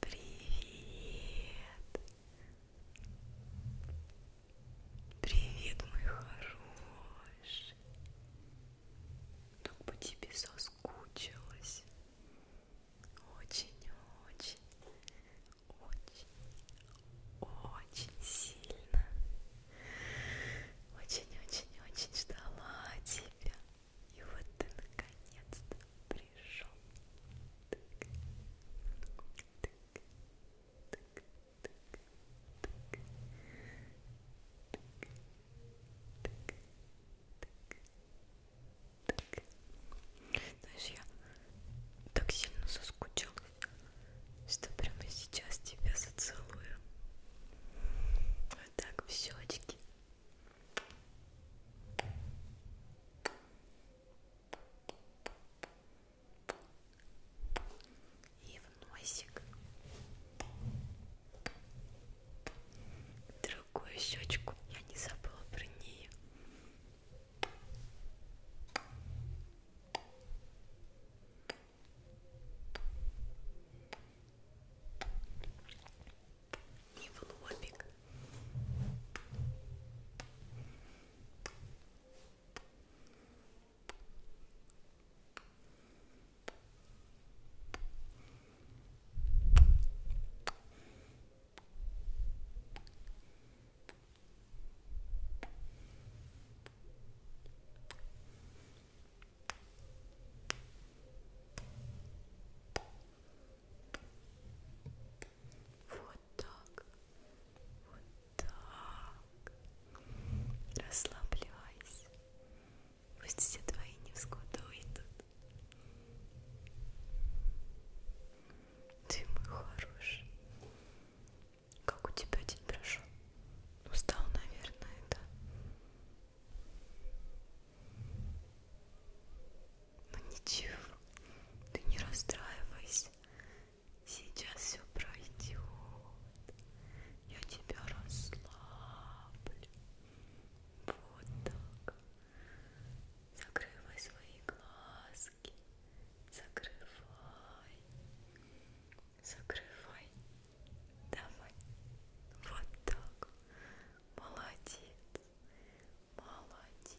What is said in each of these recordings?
Привет! Привет, мой хороший! Так по тебе соскучилась. Очень-очень, очень-очень сильно. Очень-очень-очень ждала тебя. И вот ты наконец-то пришел. Так, так, так, так, так, так, так, так. Знаешь, я так сильно соскучилась, что прямо сейчас тебя зацелую. Вот так в щечки и в носик другую щечку я не забыла про нее и в лобик. М -м -м. Вот так. Вот так. Расслабляйся. Пусть все твои невзгоды уйдут. Ты мой хороший. Как у тебя день прошел? Устал, наверное, да? Ну, ничего, ты не расстраивайся. Сейчас все пройдет. Я тебя расслаблю. Вот так. Закрывай свои глазки. Закрывай закрывай домой. Вот так. Молодец. Молодец. Молодец.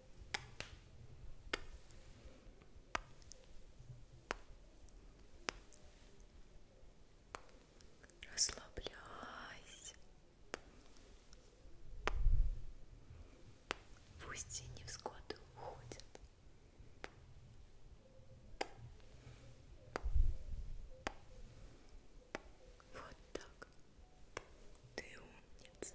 Расслабляйся. Пусть и невзгоды уходят. Вот так. Ты умница.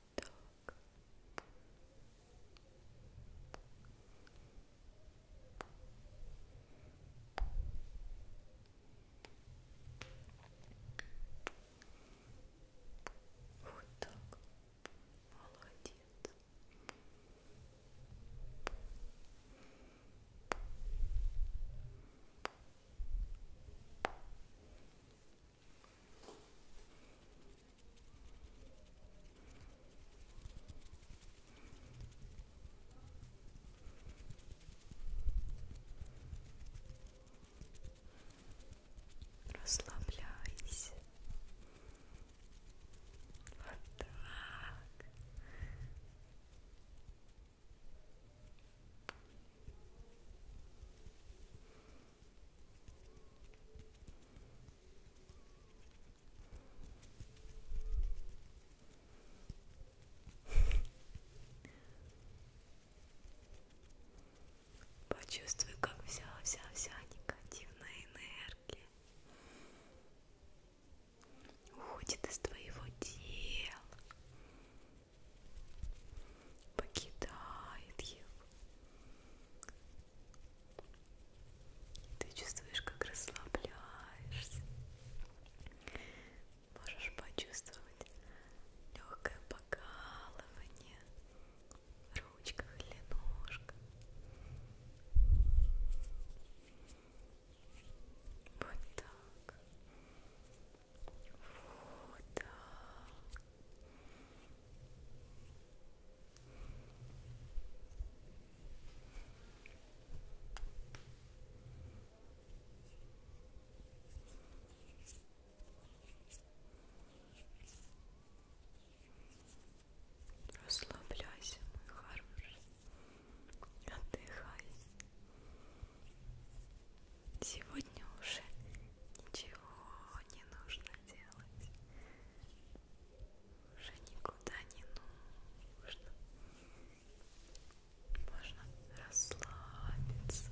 Вот так. Вот так. Молодец. Расслабляйся. Вот так. Почувствуй, как вся-вся-вся негативная энергия уходит из твоего тела покидает его. Ты чувствуешь, как расслабляешься. Можешь почувствовать легкое покалывание в ручках или ножках. Вот так. Вода. Расслабляйся, мой хороший, отдыхай. Сегодня уже Ничего не нужно делать. Уже никуда не нужно. Можно расслабиться.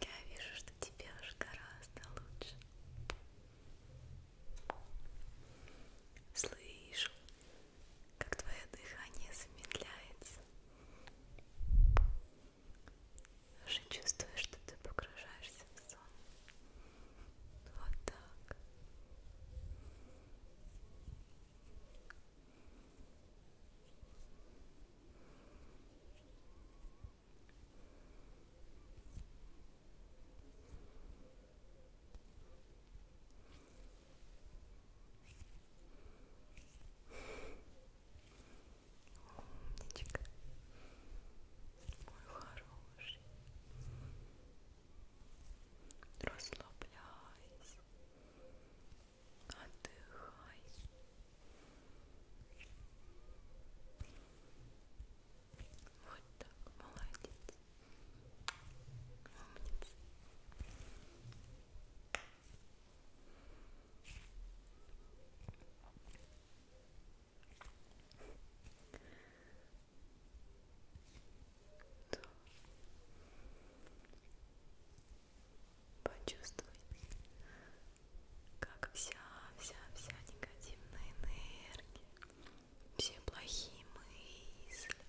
Я вижу, что тебе уж гораздо лучше. Слышу, как твое дыхание замедляется. Уже чувствуешь, что ты погружаешься в лицо. Вот так. Умничка, мой хороший. Расслабляйся. Отдыхай. Вот так, молодец. Умница. Почувствуй, как вся-вся-вся негативная энергия, все плохие мысли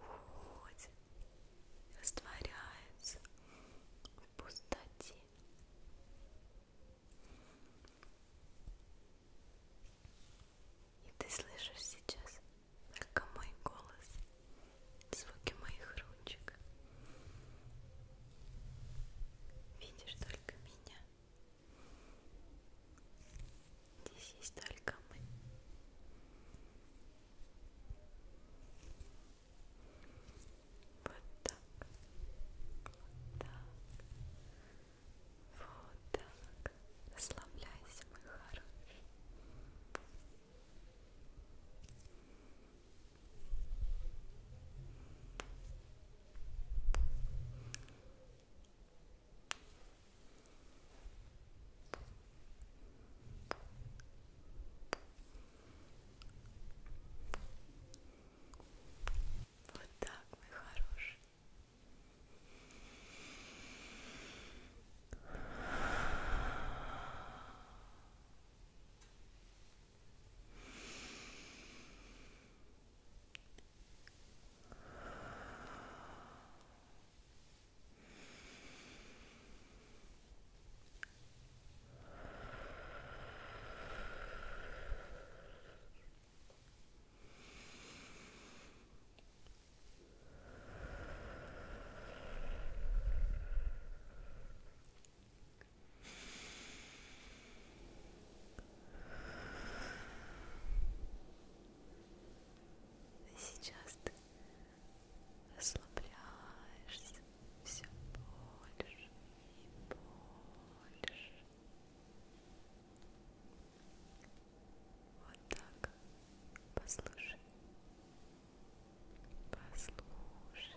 уходят, растворяются в пустоте. И ты слышишь сейчас только мой голос, звуки моих ручек. Видишь только меня. Здесь есть только мы. Вот так. Вот так. Вот так. Расслабляйся, мой хороший. Хорошо. Вот так, мой хороший. Сейчас ты расслабляешься, все больше и больше. Вот так. Послушай. Послушай. Теперь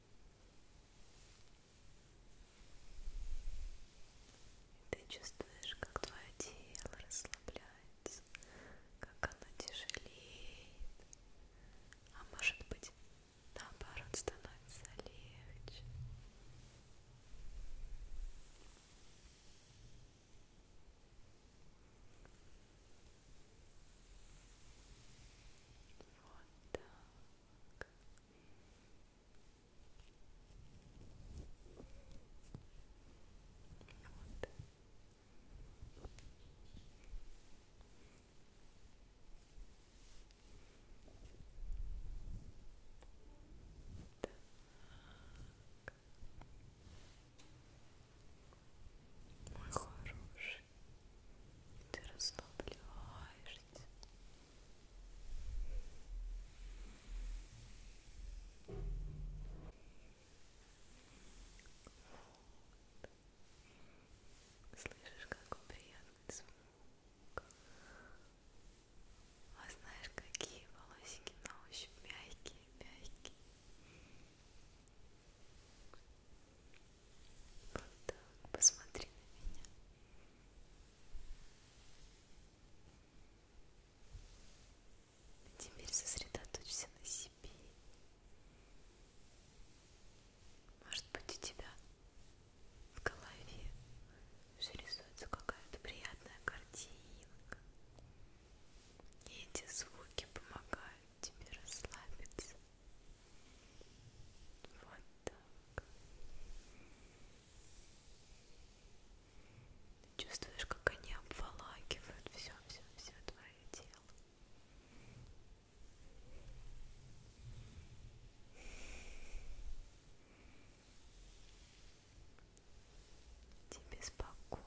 Ты чувствуешь, как твое тело расслабляется, как оно тяжелеет, а может быть, наоборот, становится легче. Вот так. Вот. Так. Мой хороший ты расслабляешься. Вот. Слышишь, какой приятный звук. А знаешь, какие волосики на ощупь мягкие, мягкие. Вот так, посмотри на меня. Теперь сосредоточься на себе. Может быть, у тебя в голове уже рисуется какая-то приятная картинка. И эти звуки помогают тебе расслабиться. Вот так. Чувствуешь, как они обволакивают все, все, все твое тело. Тебе спокойно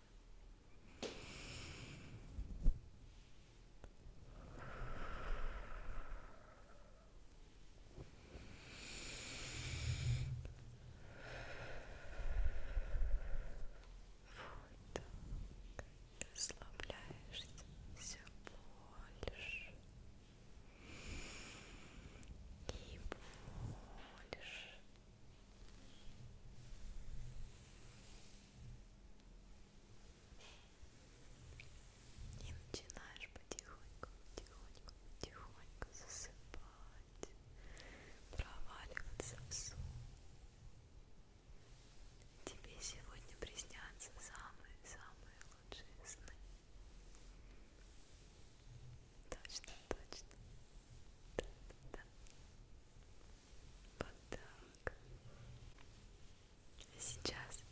Вот так, расслабляешься все больше и больше и начинаешь потихоньку, потихоньку, потихоньку засыпать, проваливаться в сон. Тебе сегодня приснятся самые-самые лучшие сны. Точно, точно. Да, да, да. Вот так. А сейчас,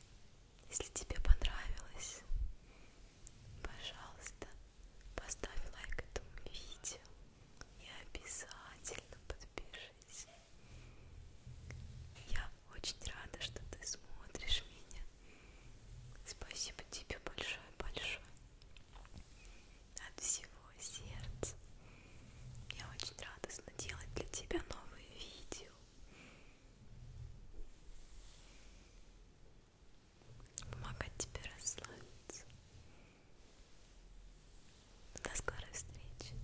если тебе понравилось, пожалуйста, поставь лайк этому видео и обязательно подпишись. Я очень рада, что ты смотришь меня. Спасибо тебе большое-большое от всего сердца. Я очень радостно делать для тебя новые видео. Помогать тебе расслабиться. До скорой встречи.